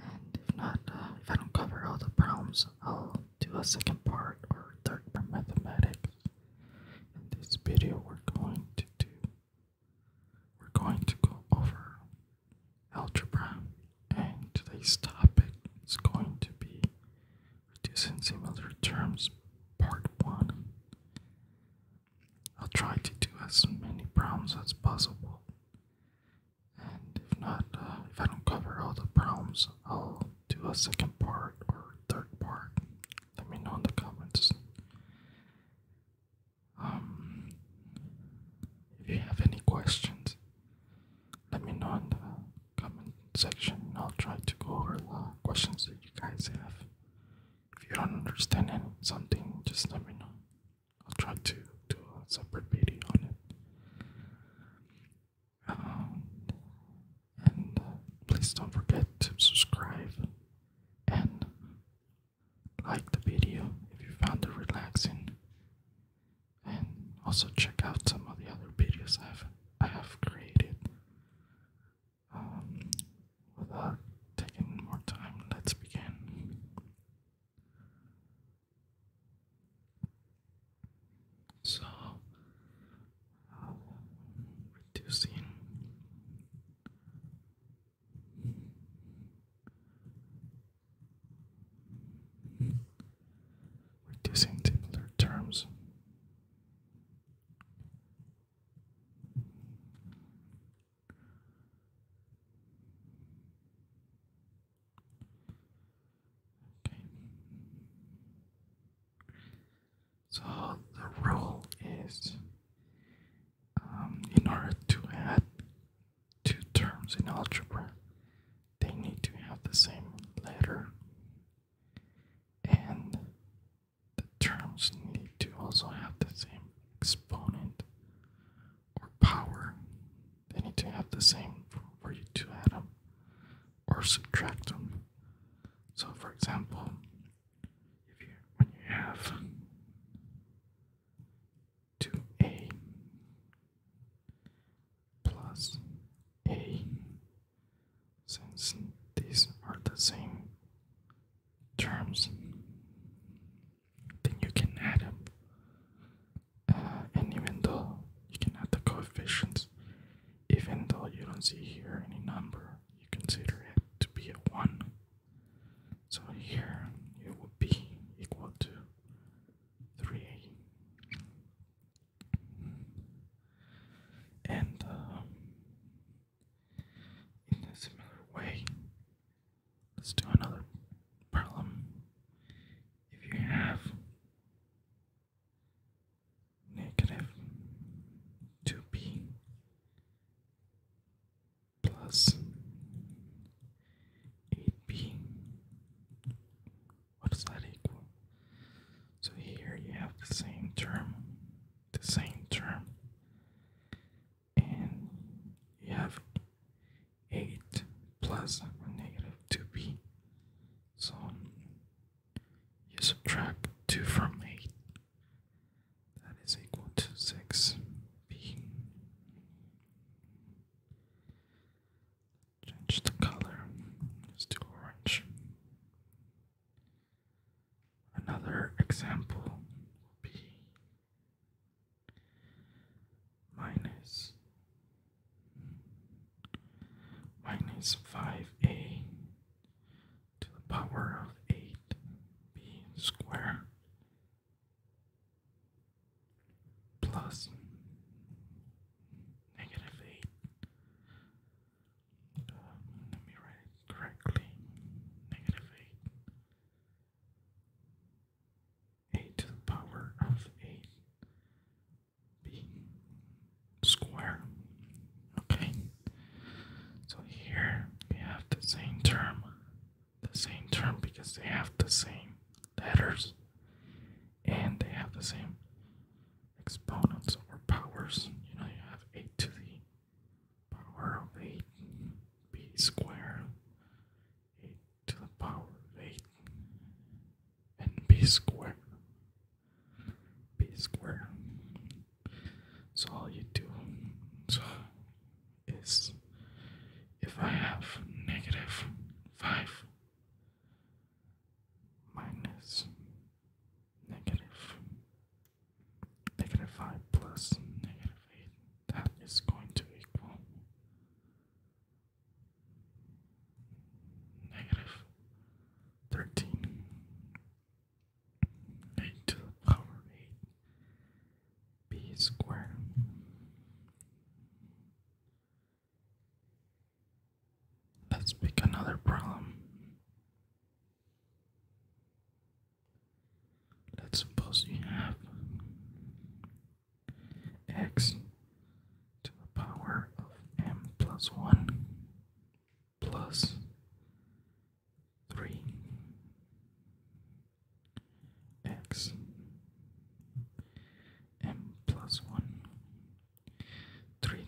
And if not, uh, if I don't cover all the problems, I'll do a second part or third part mathematics. In this video, we're going to do, we're going to go over algebra, and today's topic is going to be reducing similar terms, part one. I'll try to do as many problems as possible. And if not, uh, if I don't cover all the problems, I'll do a second part or third part. Let me know in the comments. Um, if you have any questions, let me know in the comment section. I'll try to go over the questions that you guys have. If you don't understand anything, just let me know. I'll try to do a separate video on it. Um, and uh, please don't forget to subscribe and like the video if you found it relaxing. And also check out some of the other videos I've I have created. Um, without taking more time, let's begin. So reducing reducing simpler terms. So the rule is um, in order to add two terms in algebra, they need to have the same letter and the terms need to also have the same exponent or power, they need to have the same for you to add them or subtract them. So, for example, if you have two a plus a, since these are the same terms, then you can add them. Uh, and even though you can add the coefficients, even though you don't see here any number, you consider it to be a 1. So here it would be equal to 3. And uh, in a similar way, Let's do another problem. If you have negative 2b plus 8b, what does that equal? So here you have the same term, the same term, and you have 8 plus negative 2b. So you subtract 2 from 8, that is equal to 6b. Change the color, let orange. Another example will be minus minus 5a to the power of 8b squared plus negative 8 uh, let me write it correctly negative 8 a to the power of a b square. Okay, so here we have the same term, the same term because they have the same letters and they have the same exponents or powers. You know, you have a to the power of a b square 8 to the power of 8 and b squared. b squared. So all you do so is if I have negative 5 minus negative negative 5 plus negative 8 that is going to equal negative 13 to the power 8 b squared. Let's pick another problem. Let's suppose you have x to the power of m plus 1 plus 3 x m plus 1 3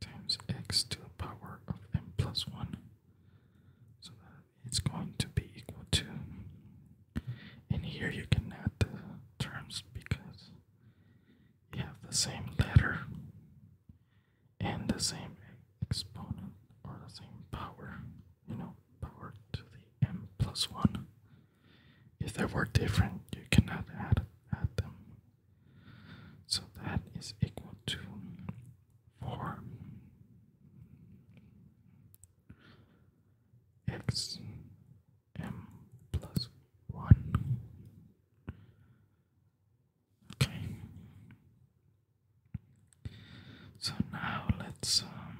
times x to the power of m plus 1 so that it's going to be equal to and here you can add the terms because you have the same letter and the same exponent or the same power, you know, power to the m plus 1. If they were different, you cannot add, add them. So that is equal to 4 x m plus 1. Okay. So now let's um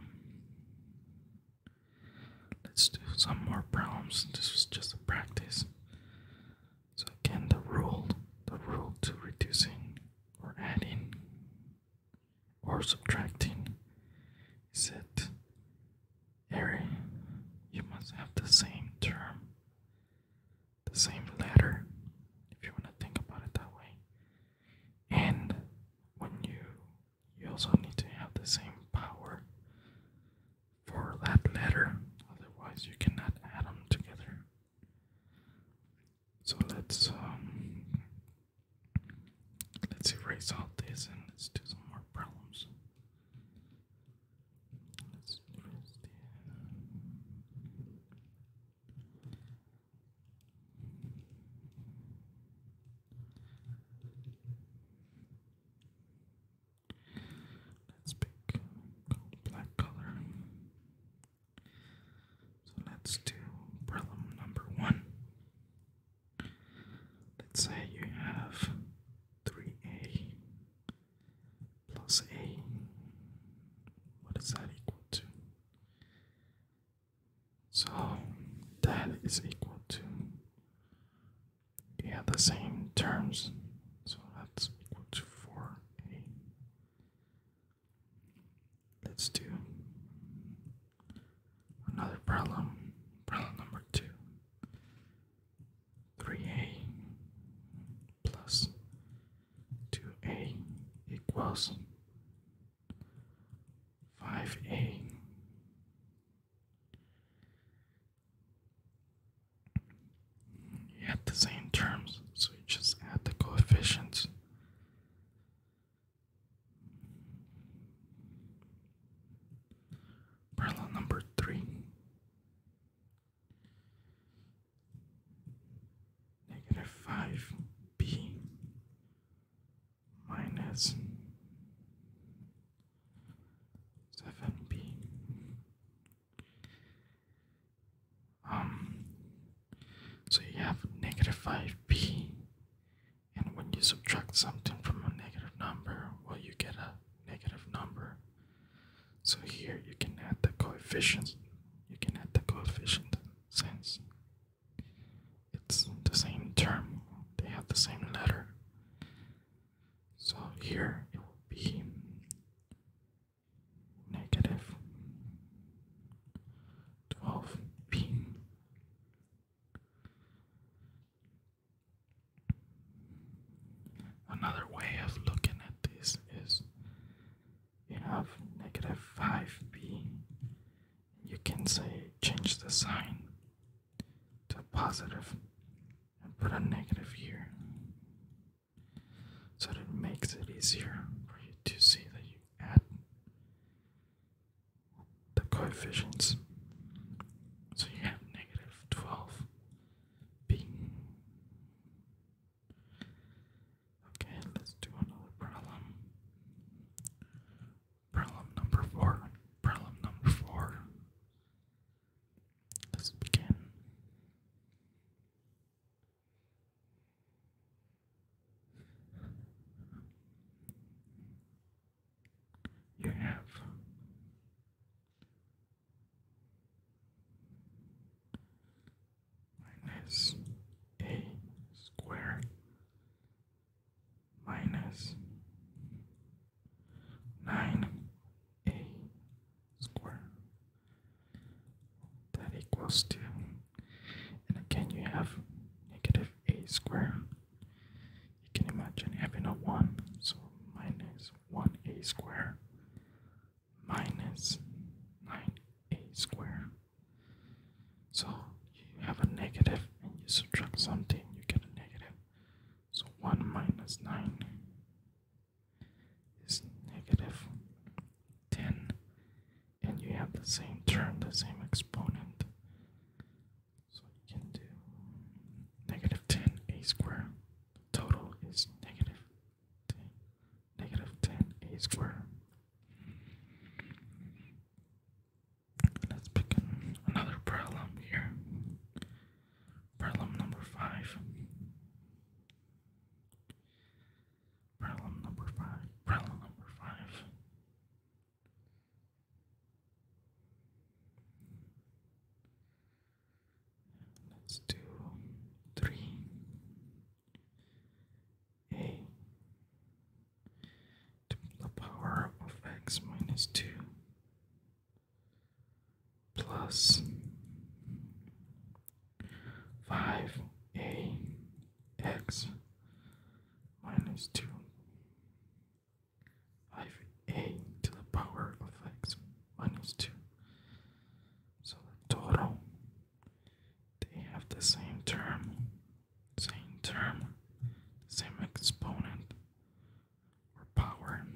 let's do some more problems. This was just a practice. So again the rule the rule to reducing or adding or subtracting. He said, Harry, you must have the same term, the same letter, if you want to think about it that way. And when you you also need to have the same power for that letter, otherwise you cannot add them together. So let's um, Let's erase all this and let's do some more problems. Let's erase the Let's pick black color. So let's do problem number one. Let's say you have 3a plus a. What is that equal to? So that is equal to. You have the same terms, so that's equal to 4a. Let's do Another problem, problem number two. 3a plus 2a equals 5a. You have the same terms, so you just add the coefficients. Parallel number three. Negative five B minus seven B. Um so you have negative five B and when you subtract something from a negative number, well, you get a negative number. So here you can add the coefficients. You can add the coefficient since it's the same term, they have the same letter. So here it will be negative 12p Another way of looking at this is you have negative 5b. You can say change the sign to positive and put a negative here. So that it makes it easier for you to see that you add the coefficients. So you have negative 12 being. Okay, let's do another problem. Problem number four. Problem number four. Let's begin you have minus a square minus nine a square that equals two. and again you have negative a square you can imagine having a 1, so minus 1a squared minus 9a squared. So you have a negative and you subtract something, you get a negative. So 1 minus 9 is negative 10, and you have the same term, the same exponent. So we can do negative 10 a squared. total is negative 10, negative 10 a squared. Let's pick another problem here. Problem number 5. Problem number 5. Problem number 5. Let's do three a to the power of x minus two plus five a x minus two 5a to the power of x minus 2. So the total, they have the same term, same term, same exponent or power.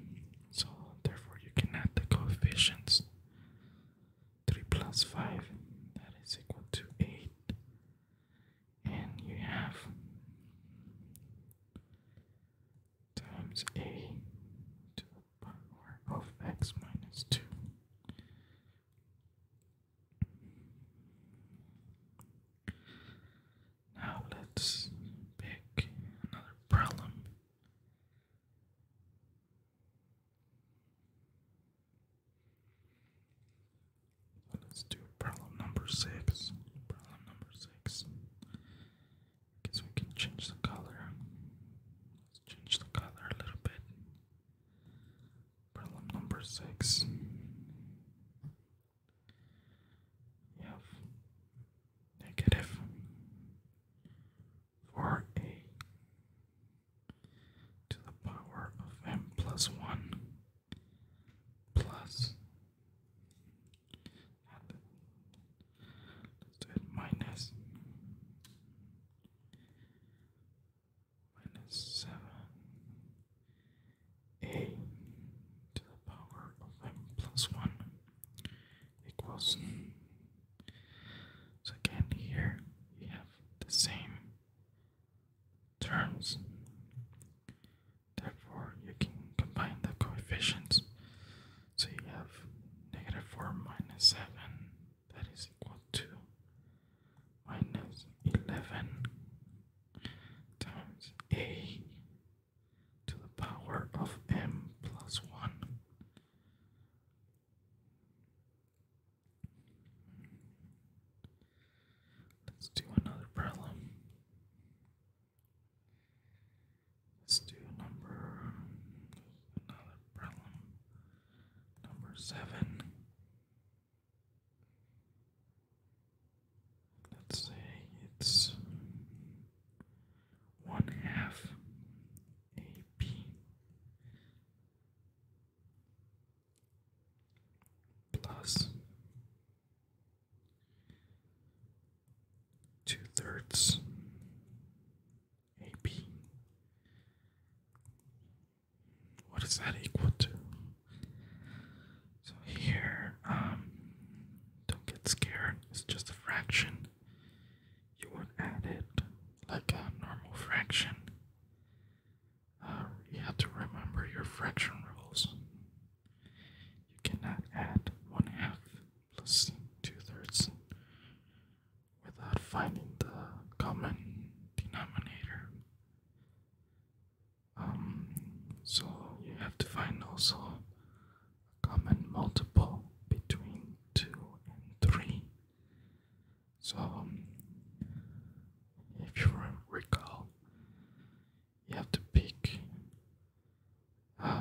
So therefore you can add the coefficients. 3 plus 5, that is equal to 8 and you have times a to the power of x minus 2. Now let's pick another problem. Let's do problem number six. Problem number six. Guess we can change the color. Let's change the color a little bit. Problem number six. We negative four a to the power of m plus one plus and let's do it minus minus seven a to the power of m plus one equals so again here we have the same terms Therefore, you can combine the coefficients. So you have negative 4 minus 7, that is equal to minus 11 times a to the power of m plus 1. Let's do another problem. Let's do number another problem. Number seven. Let's say it's one half a b plus two thirds AB. What is that equal to? So here, um, don't get scared, it's just a fraction. You would add it like a normal fraction. Uh, you have to remember your fraction rules. You cannot add one half plus two thirds without finding the common denominator. Um, so you have to find also a common multiple between two and three. So, um, if you recall, you have to pick uh,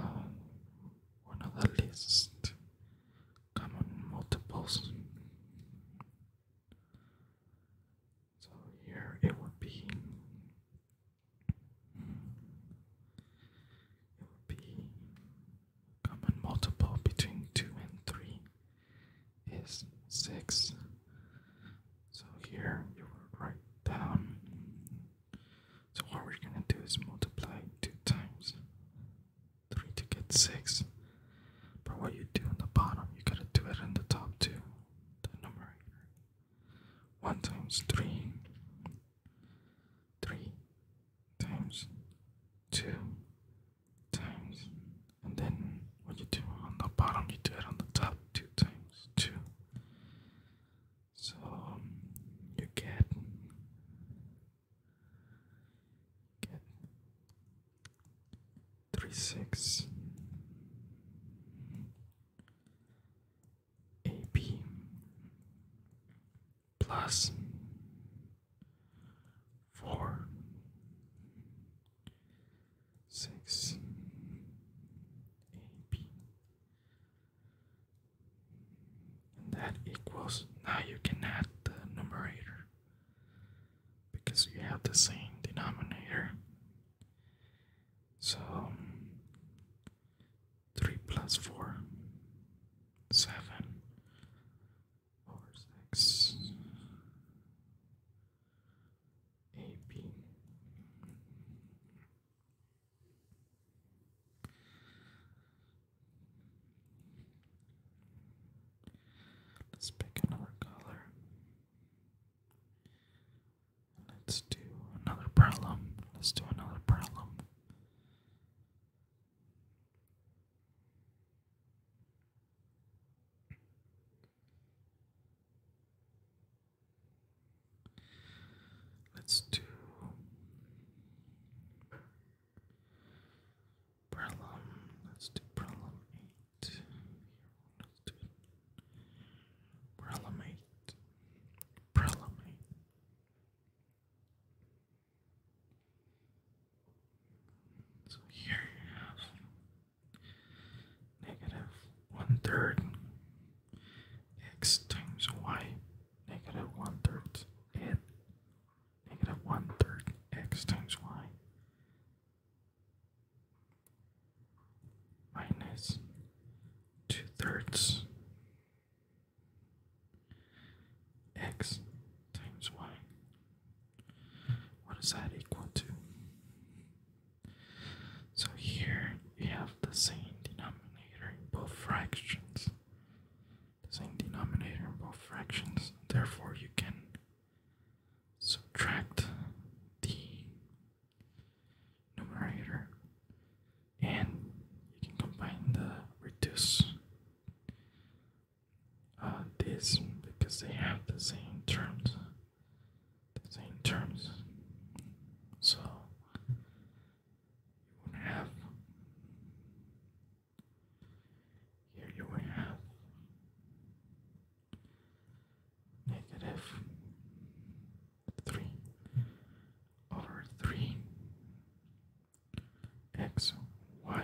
one of the least common multiples. So here it would be it would be common multiple between two and three is six so here you will write down. So what we're gonna do is multiply two times three to get six. But what you do on the bottom, you gotta do it on the top too. The numerator. One times three. Three times two times and then what you do on the bottom you do it on the top two times two so um, you get get three six AB plus four six AB and that equals, now you can add the numerator because you have the same denominator. So, 3 plus 4, AB. Let's pick another color. Let's do another problem. Let's do another problem. Let's do problem. Let's do problem let Let's do problem eight. So here you have negative one third x times y negative one third and negative one third x times y minus two thirds x times y. What does that equal to? So here you have the same denominator in both fractions. The same denominator in both fractions. Therefore, you can subtract the numerator and you can combine the reduce uh, this because they have the same terms the same terms. So you would have here you have negative three over three x y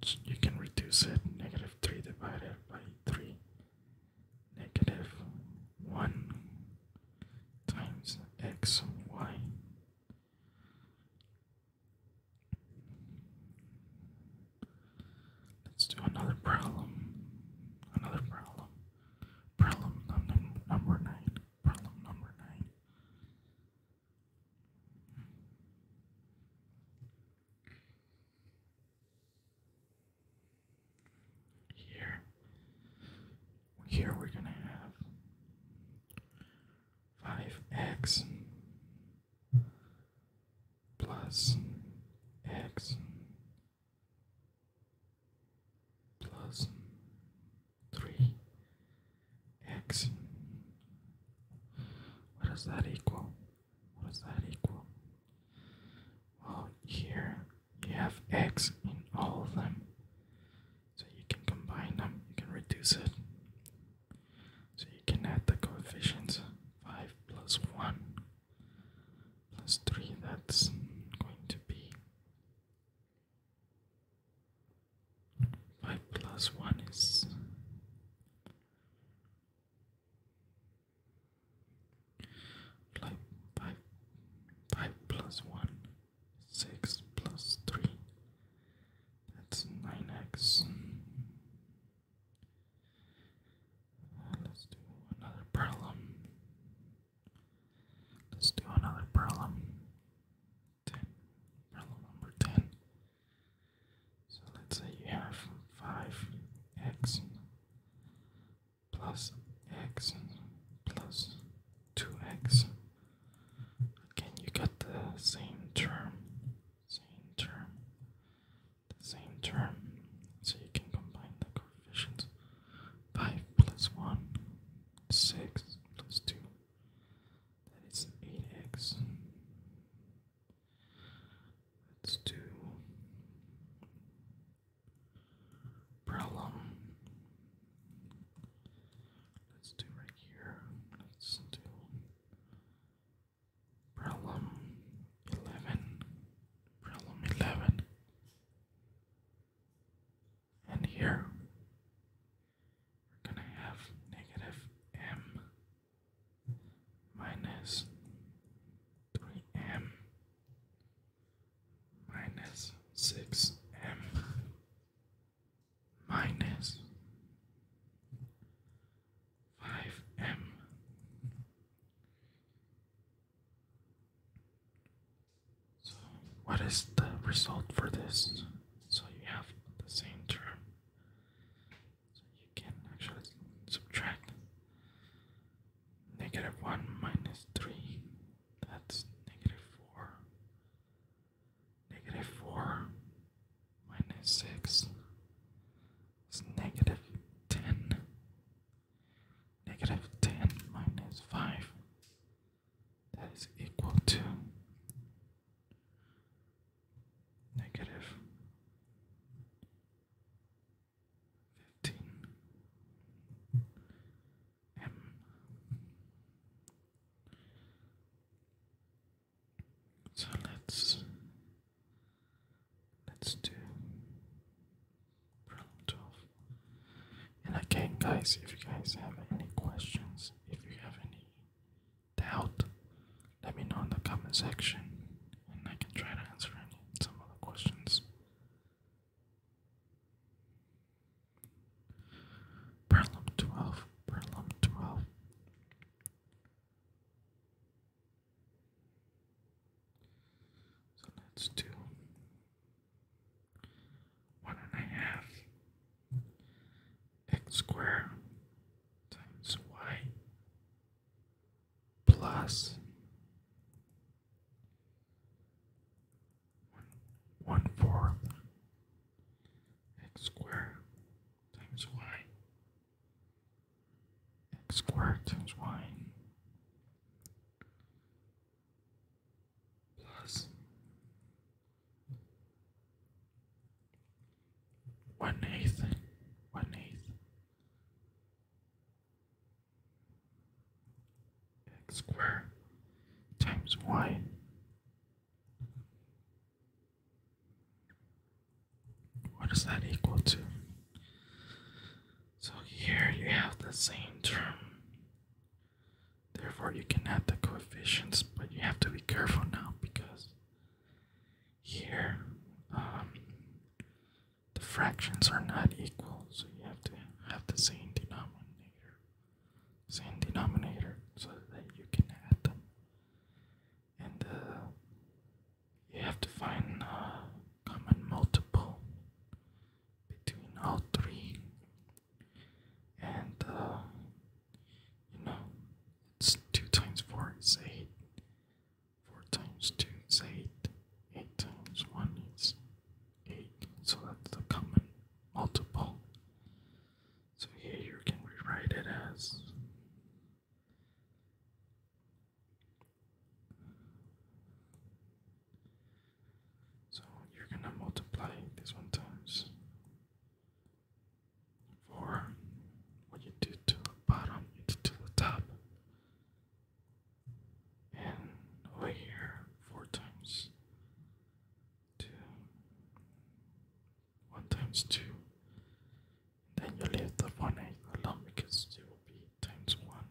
which you can reduce it negative 3 divided by 3 negative 1 times xy let's do another problem another problem problem number 9 problem number 9 here, here we're going to have 5x plus x plus 3x. What does that equal? What does that equal? Well, here you have x in all of them. So you can combine them, you can reduce it. So you can add the coefficients 5 plus 1 plus 3, that's going to be 5 plus 1 is five, one, six plus three. That's nine x. Uh, let's do another problem. Let's do another problem. Ten, problem number ten. So let's say you have five x plus x plus 2x. Again, you get the same term, same term, the same term. So you can combine the coefficients. 5 plus 1, 6 plus 2. That is 8x. Let's problem. Let's do right here. Let's do problem 11. Problem 11. And here we're going to have negative m minus 3m minus six M minus five M so what is the result for this? So you have the same term. So you can actually subtract negative 1 minus 3, that's negative 4. Negative 4 minus 6 is negative 10. Negative 10 minus 5, that is equal to negative fifteen M so let's let's do problem twelve. And again guys if you guys have any questions, if you have any doubt, let me know in the comment section and I can try to answer any some of the questions. Perlum 12, Perlum 12. So let's do one and a half x squared times y plus one, one fourth x squared times y x squared times y plus one eighth one eighth x squared times y what is that equal to? So here you have the same term. Therefore, you can add the coefficients, but you have to be careful now because here um, the fractions are not equal, so you have to have the same denominator, same denominator, so that you can add them. And uh, you have to find a uh, common multiple between all three. And uh, you know, it's two times four is eight. 4 times 2 is 8, 8 times 1 is 8, so that's the common multiple. So here you can rewrite it as 1 times 4. What you do to the bottom, you do to the top. And over here, four times two, one times two. Then you leave the one eight alone because it will be times one,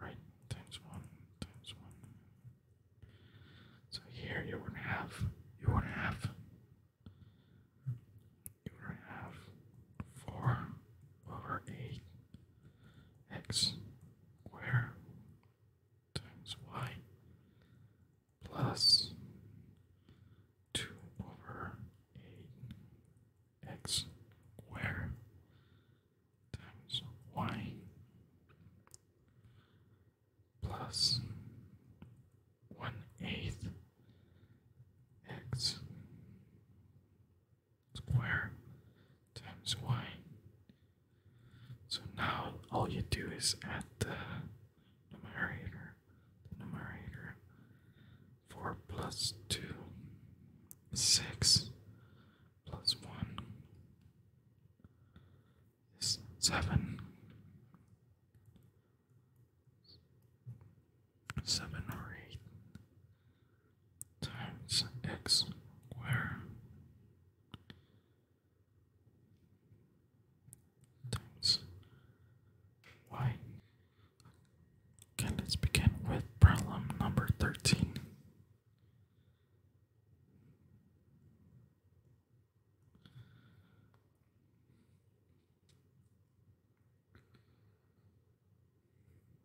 right? Times one, times one. So here you wouldn't have, you wouldn't have, you would have four over eight x squared times y plus 2 over 8 x squared times y plus 1 eighth x square times y. So now all you do is add the numerator, the numerator, 4 plus 2, 6 plus 1 is 7. 7 or 8 times x squared times y. Okay, let's begin with problem number 13.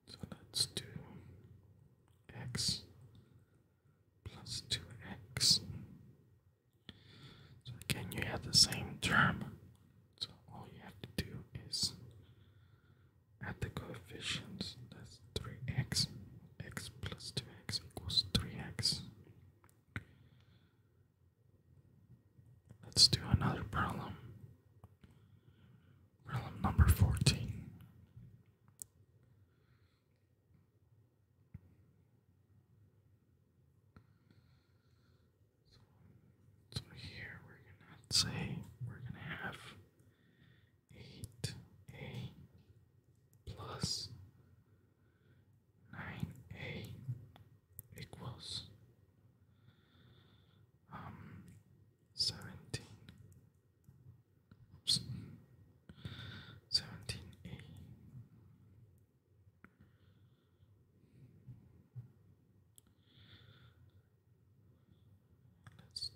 So let's do x plus 2x. So again, you have the same term. So all you have to do is add the coefficients. That's 3x. x plus 2x equals 3x. Let's do another problem. Realm number 14. So, here we're gonna say we're gonna have eight A plus nine A equals um, seventeen, Let's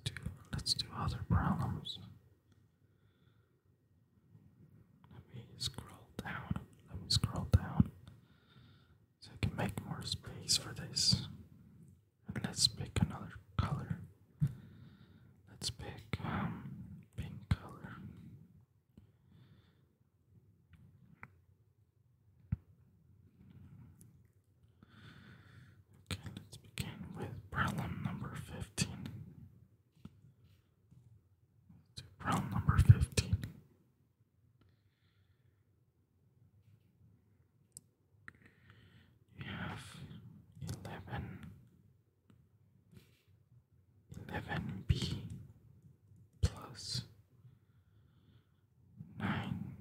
do let's do other problems. Let me scroll down. Let me scroll down so I can make more space for this. Let's pick another color. Let's pick um, pink color. Okay, let's begin with problem number 15. let number 15. You have eleven eleven B plus nine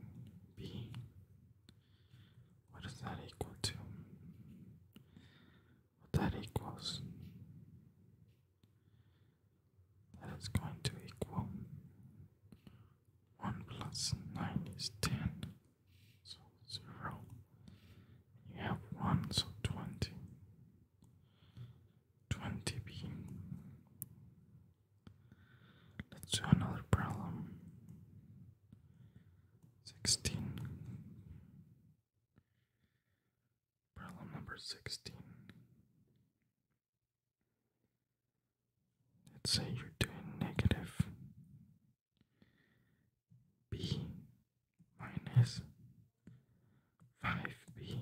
B. What that equal to? What that equals? That is going to equal 1 plus 9 is 10, so 0. You have 1, so 20. 20b. Let's do another problem. 16. Problem number 16 let's say you're doing negative b minus 5b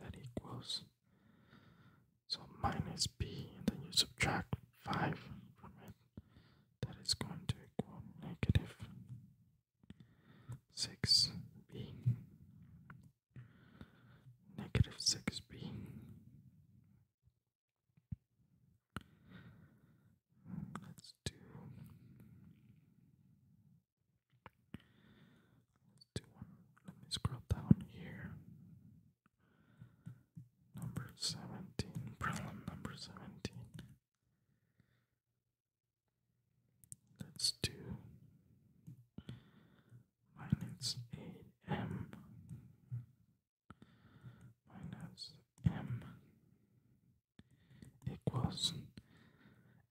that equals so minus b and then you subtract 5 from it that is going to equal negative 6b negative 6b Let's do. Let's do one. Let me scroll down here. Number seventeen. Problem number seventeen. Let's do. Minus eight m minus m equals,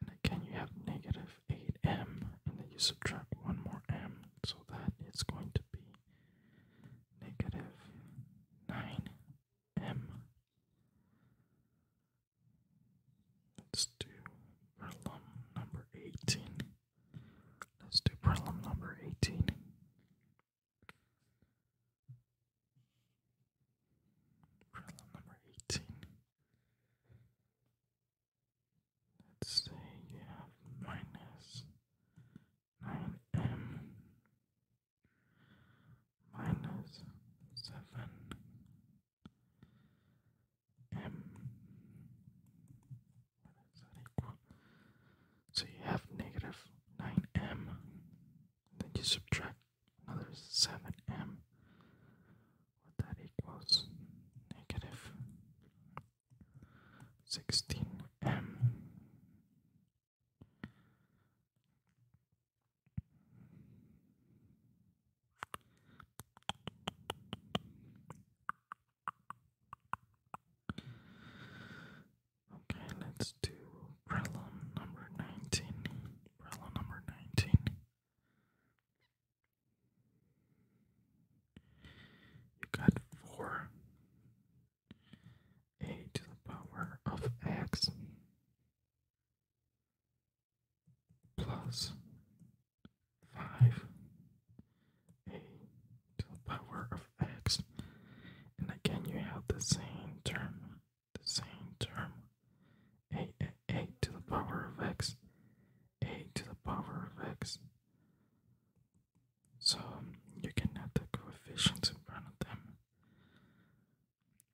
and again you have negative 8m, and then you subtract one more m, so that it's going to be negative 9m. Let's do problem number 18. Let's do problem number 18. Problem number 18. Let's say you have minus 9m minus 7m so you have negative 9m, then you subtract another 7m. What that equals negative 16m. Okay, let's do problem number 19. Problem number 19. You got 4 a to the power of x plus 5 a to the power of x. And again, you have the same term, the same term, a, to the power of x, a to the power of x. So you can add the coefficients in front of them.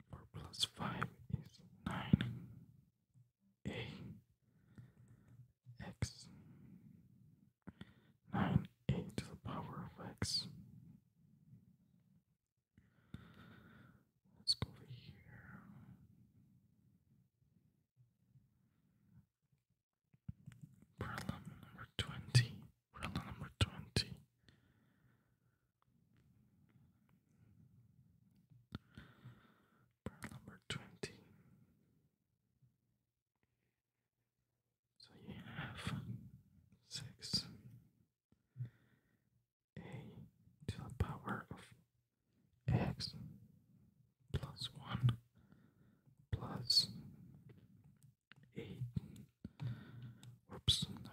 4 plus 5 is 9. A x 9 a to the power of x. Let's go over here. Problem number 20. Problem number 20. Problem number 20. So you have six a to the power of x plus one plus eight. Oops, let me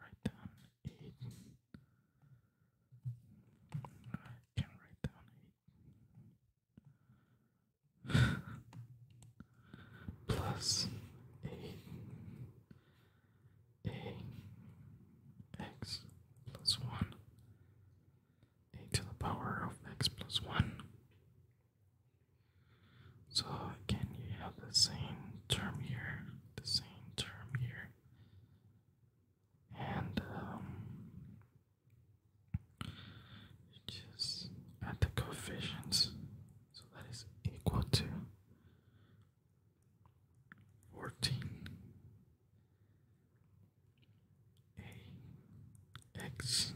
write down eight. I can write down eight plus a a x plus one a to the power of x plus one. So again, you have the same term here, the same term here, and um, just add the coefficients. So that is equal to 14 a x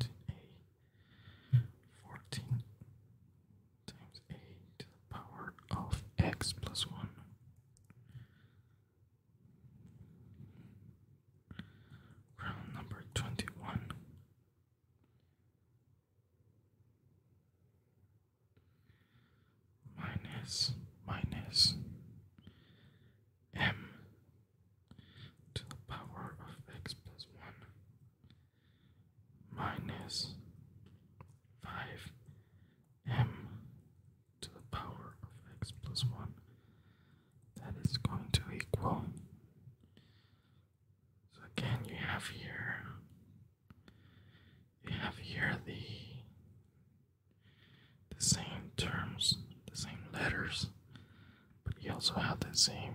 14a 14 times a power of x plus 1 Round number twenty one. Minus minus m to the power of x plus one minus five m to the power of x plus 1 that is going to equal so again you have here you have here the the same terms the same letters but you also have the same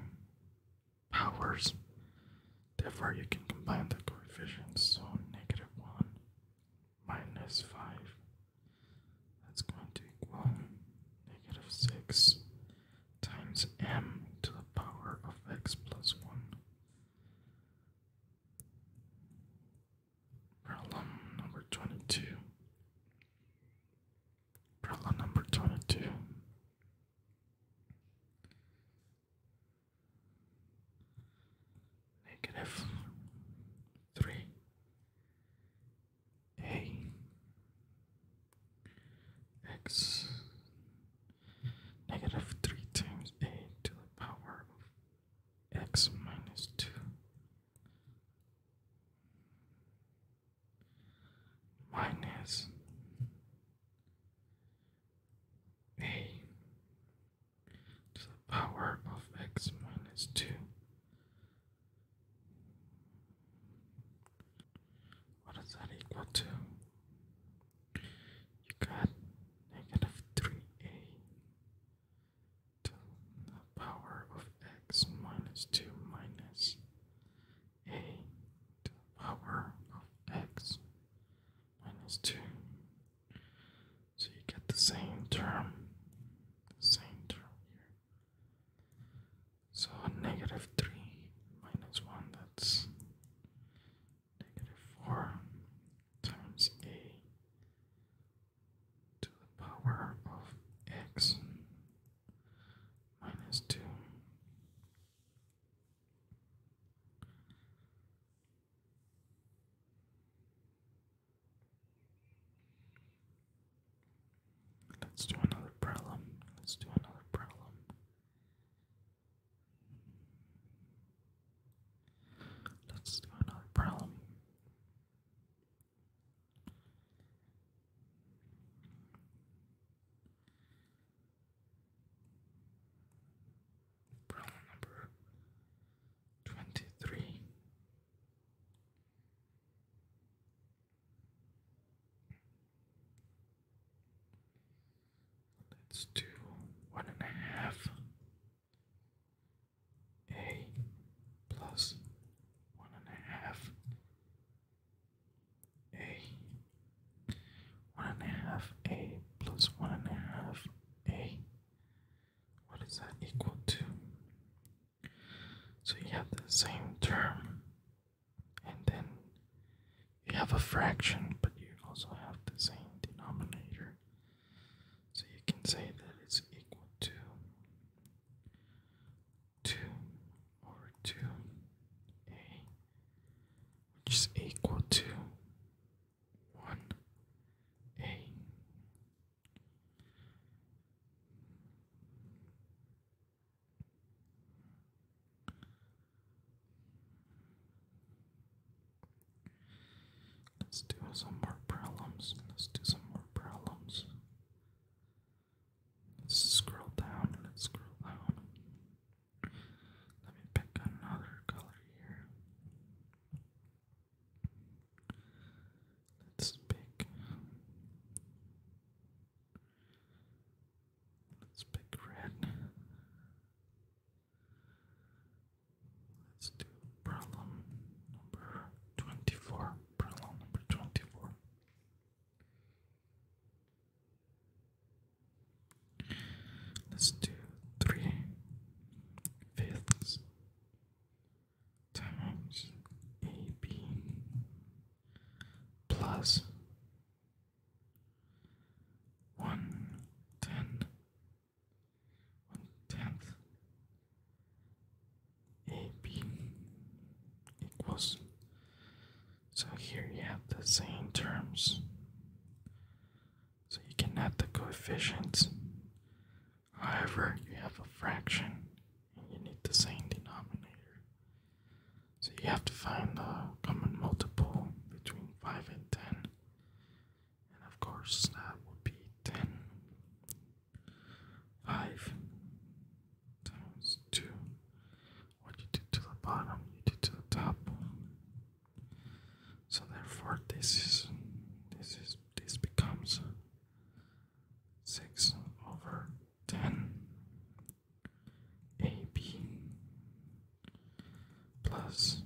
powers therefore you can combine the coefficients so negative 1 minus 5 that's going to equal negative 6 times m to the power of x plus 1. Problem number 22. Problem number 22 negative 3 a x negative 3 times a to the power of x minus 2 minus a to the power of x minus 2. What is that equal to? You got negative 3a to the power of x minus 2 minus a to the power of x minus 2 so you get the same term, same term here. So negative 3 minus 1, that's negative 4 times a to the power of x minus 2. Let's do another problem. Let's do another problem. Let's do another problem. Problem number twenty three. Let's do one and a half a plus one and a half a one and a half a plus one and a half a what is that equal to? So you have the same term, and then you have a fraction, but you also have the same denominator. So you can say that it's equal to 2 over 2a, which is equal to 1a. Let's do some more problems. Let's do some more problems. Let's scroll down. Let's scroll down. Let me pick another color here. Let's pick. Let's pick red. Let's do problem number 24. Problem number 24. Let's do three fifths times AB plus 110 one tenth AB equals so here you have the same terms so you can add the coefficients However, you have a fraction and you need the same denominator. So you have to find the common multiple between 5 and 10. And of course, that would be 10. 5 times 2. What you do to the bottom, you do to the top. So therefore, this is this is this becomes 6 over 10 AB plus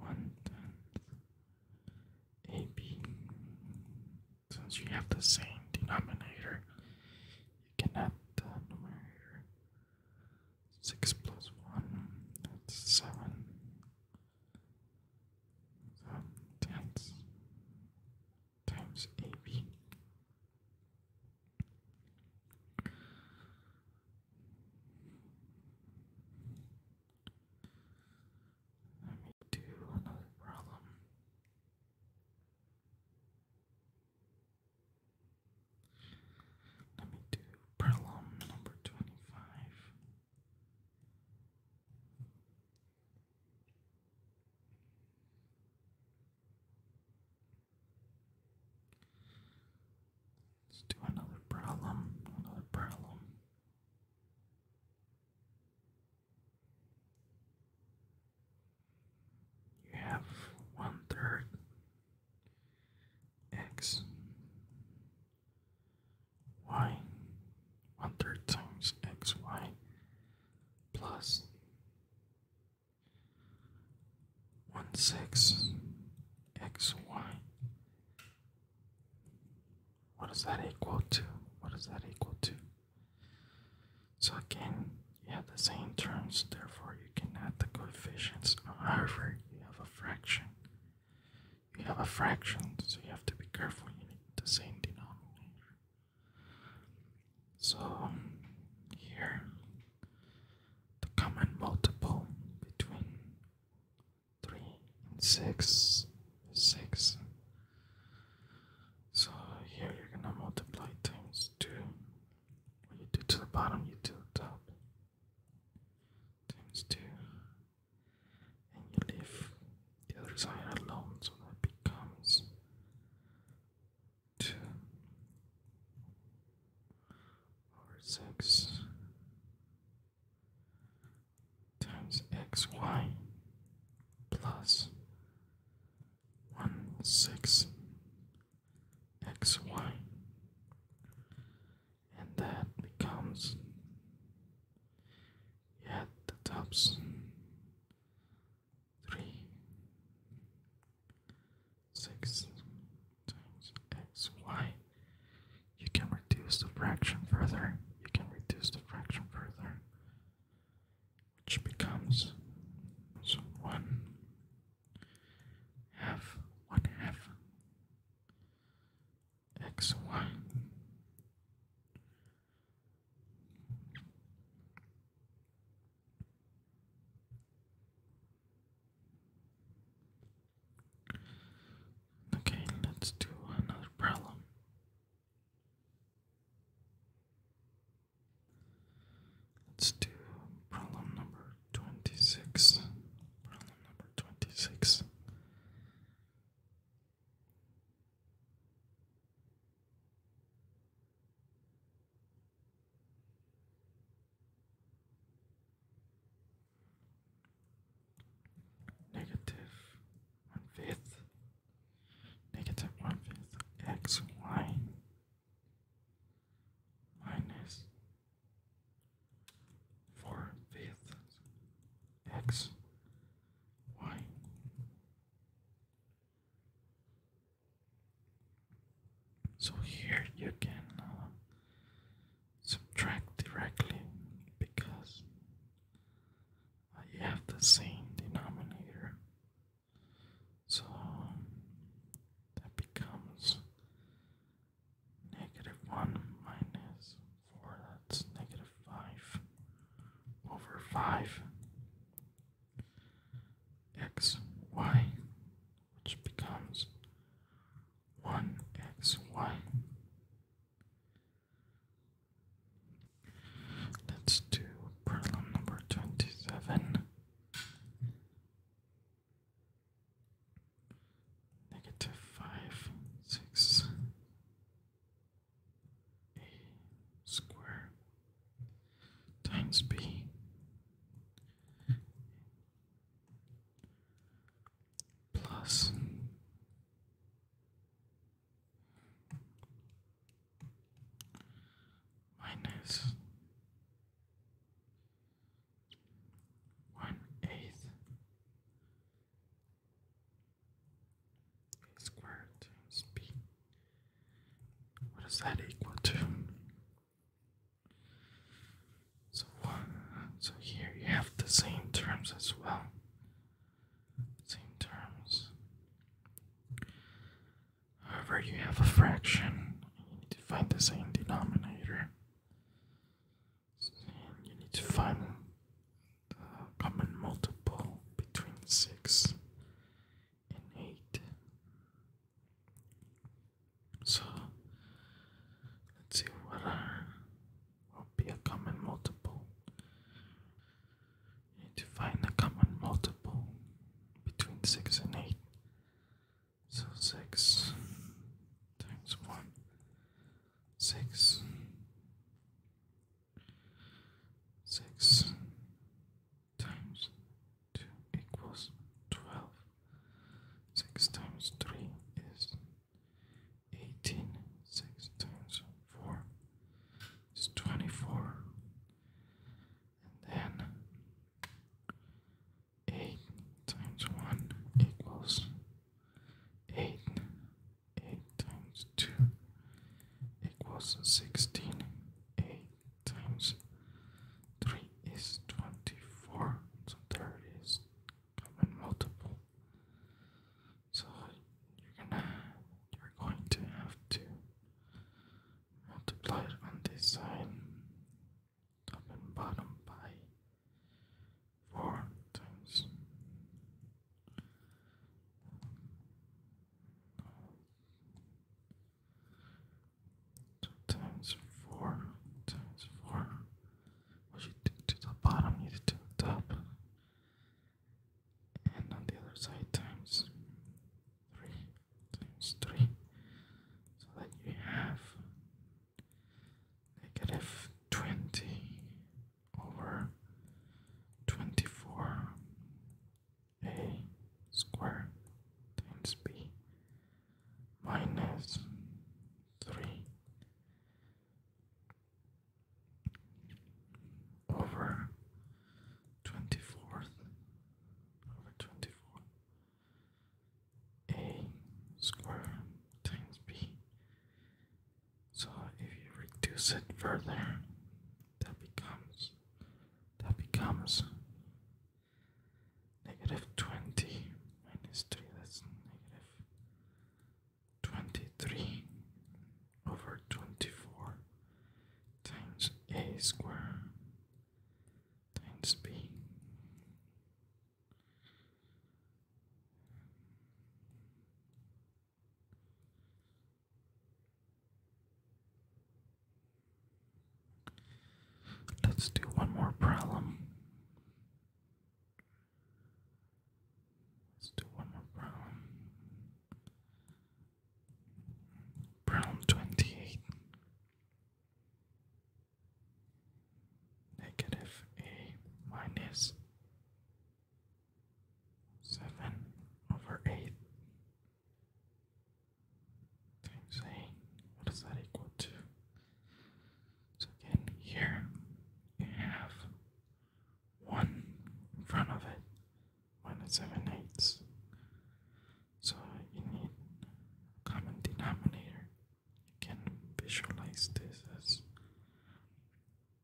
1 tenth AB. Since you have the same denominator, you can add the numerator. 6 plus 1, that's 7. So tense times AB. Let me do another problem. Let me do problem number twenty five. Let's do another problem, another problem. You have one third x y one third times xy plus one six xy. What does that equal to? What does that equal to? So again, you have the same terms, therefore you can add the coefficients. However, you have a fraction you have a fraction, so you have to be careful. You need the same denominator. So here, the common multiple between three and six is six. So here you're gonna multiply times two. What you do to the bottom, you do the top. Times two and you leave the other side alone, so that becomes two over six times xy plus one six xy and that becomes at the Thompson three x y. You can reduce the fraction further. You can reduce the fraction further, which becomes so one half one half x y Okay, let's do another problem. Let's do problem number 26. Problem number 26. Negative one fifth, negative one fifth x y minus four fifths x why? So here you can uh, subtract directly because you have the same denominator. So that becomes negative 1 minus 4, that's negative 5 over 5 x y, which becomes 1 x y. Let's do problem number 27. Negative 5, 6 a square times b plus minus one eighth squared times b. What is that equal to? So so here you have the same terms as well. Same terms. However, you have a fraction. You need to find the same denominator. you need to find common multiple between 6 and 8. So let's see what are will be a common multiple. need to find a common multiple between 6 and 8. So 6 times 1, 6 Six times two equals twelve. Six times three is eighteen. Six times four is twenty-four. And then eight times one equals eight. 8 times 2 equals 16. 8 times 3 is 24. So there is common multiple. So you're gonna you're going to have to multiply on this side top and bottom by 4 times Two times four times four. What you do to the bottom, you do to the top. And on the other side times three times three. So that you have negative twenty over 24 a squared times b minus 3 over 24th over 24 a squared times b so if you reduce it further, that becomes that becomes negative 20 minus 3, that's negative 23 over 24 times a square times b. Let's do one more problem. Let's do one more problem. Problem 28. Negative a minus seven over eight times eight. that equal to? So again, here you have one in front of it, minus seven eighths. So you need common denominator. You can visualize this as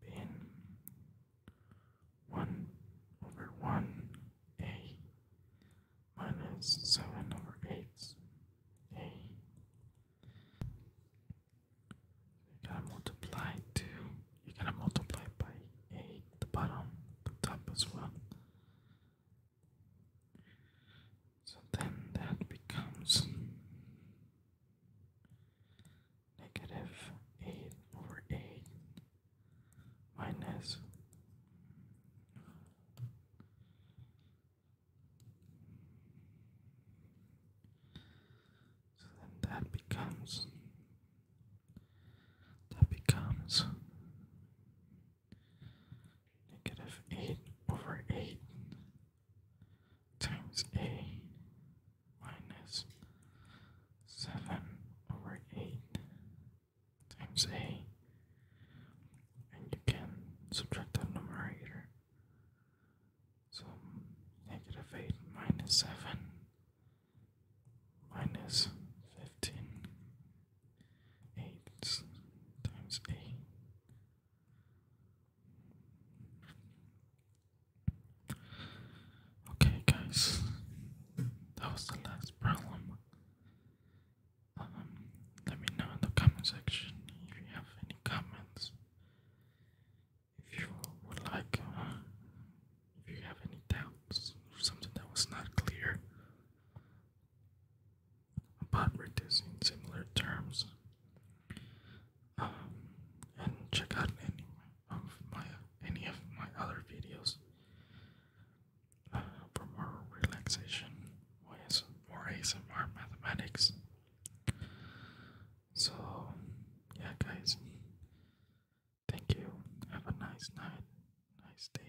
bin one over one a minus seven over eight a. You gotta multiply two. You gotta multiply by eight the bottom, the top as well. So then that becomes negative 8 over 8 minus minus. So then that becomes that becomes negative 8 over 8 times a minus 7 over 8 times eight, And you can subtract that numerator. So negative 8 minus 7 minus 15 8 times 8 Okay, guys, that was the last problem. Um, let me know in the comment section if you have any comments. If you would like, uh, if you have any doubts, or something that was not clear about reducing similar terms, um, and check out any of my any of my other videos for more relaxation ways or ASMR mathematics. So yeah guys thank you. Have a nice night, nice day.